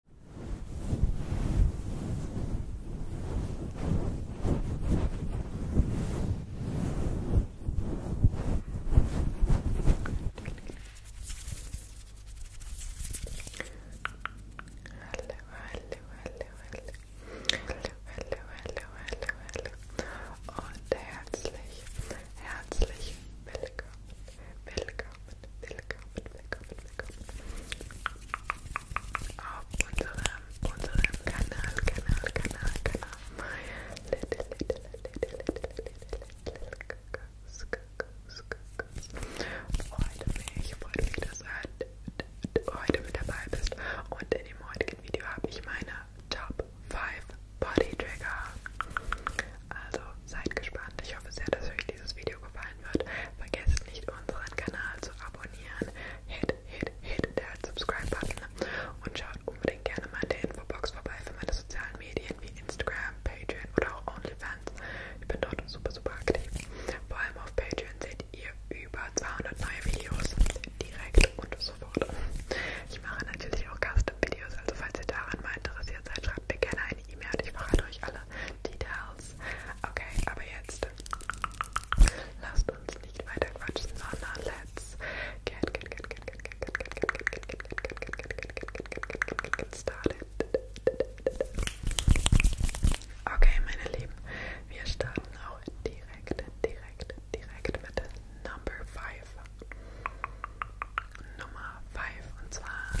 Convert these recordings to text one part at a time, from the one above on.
hallo, hallo und herzlich, herzlich willkommen willkommen, willkommen, willkommen, willkommen auf unserem, unserem Kanal, Kanal, Kanal, Kanal. Little, little, little, little, little, Kuss, Kuss, Kuss. Freut mich, freut mich, dass du heute mit dabei bist. Und in dem heutigen Video habe ich meine Top 5 Body Trigger. Also seid gespannt. Ich hoffe sehr, dass euch dieses Video gefallen wird. Vergesst nicht, unseren Kanal zu abonnieren. Hit, hit, hit der Subscribe-Button. Und schaut unbedingt gerne mal in der Infobox vorbei für meine sozialen Medien wie Instagram, Patreon oder auch OnlyFans. Ich bin dort super, super aktiv. Vor allem auf Patreon seht ihr über 200 neue Videos direkt und sofort. Ich mache natürlich auch Custom-Videos, also falls ihr daran mal interessiert seid, schreibt mir gerne eine E-Mail und ich verrate euch alle Details. Okay, aber jetzt lasst uns nicht weiter quatschen, sondern let's get, get, get, get, get, get, get, get, get, get, get, get, get, get, get, get, get started. Okay, meine Lieben, wir starten auch direkt, direkt, direkt mit Number 5. Nummer 5 und zwar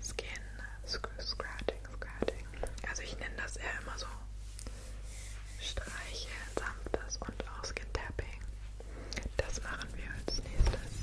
Skin Scratching, Scratching. Also ich nenne das eher immer so Streiche, sanftes und auch Skin Tapping. Das machen wir als nächstes.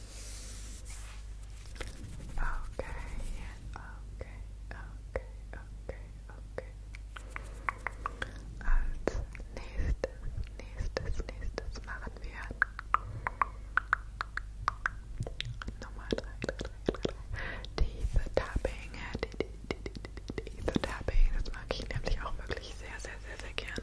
Okay, okay, okay, okay, okay. Als nächstes, nächstes, nächstes machen wir Nummer 3, 3, 3, 3. Diese Tapping, die, die, die, die, die, diese Tapping, das mag ich nämlich auch wirklich sehr, sehr, sehr, sehr gerne.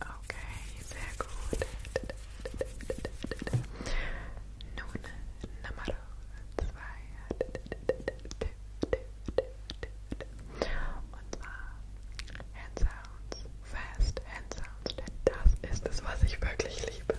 Okay, sehr gut. Nun Nummer zwei. Und zwar Hand Sounds, Fast Hand Sounds, denn das ist es, was ich wirklich liebe.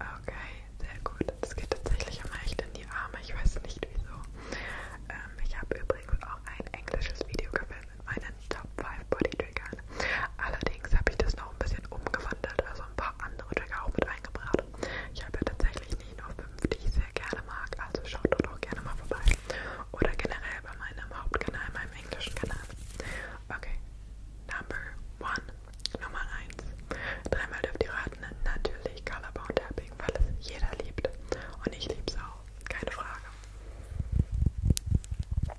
Okay, sehr gut. Das geht tatsächlich immer echt in die Arme. Ich weiß nicht wieso. Ähm, ich habe übrigens auch ein englisches Video gefilmt mit meinen Top 5 Body Triggern. Allerdings habe ich das noch ein bisschen umgewandelt, also ein paar andere Trigger auch mit eingebracht. Ich habe ja tatsächlich nicht nur 5, die ich sehr gerne mag, also schaut dort auch gerne mal vorbei. Oder generell bei meinem Hauptkanal, meinem im Englischen, keine Ahnung. Okay, Number One, Nummer 1. Dreimal dürft ihr raten, natürlich Colorbound Tapping, weil es jeder liebt. Und ich lieb's auch, keine Frage. Okay,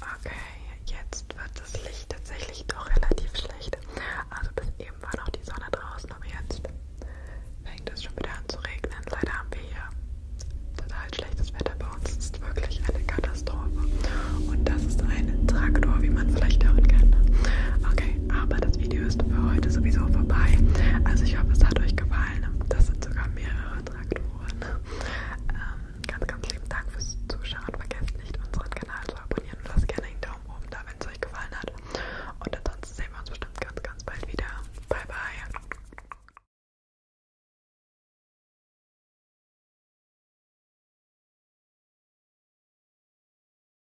Okay, jetzt wird das Licht tatsächlich doch relativ schlecht. Also bis eben war noch die Sonne draußen, aber jetzt fängt es schon wieder an zu regnen. Leider haben wir hier total schlechtes Wetter bei uns. Es ist wirklich eine Katastrophe. Und das ist ein Traktor, wie man vielleicht hören kann. Okay, aber das Video ist für heute sowieso vorbei. Also ich hoffe, es hat euch gefallen. Das sind sogar mehrere Traktoren. Ähm, ganz, ganz lieben Dank fürs Zuschauen. Vergesst nicht, unseren Kanal zu abonnieren und lasst gerne einen Daumen oben da, wenn es euch gefallen hat. Und ansonsten sehen wir uns bestimmt ganz, ganz bald wieder. Bye, bye.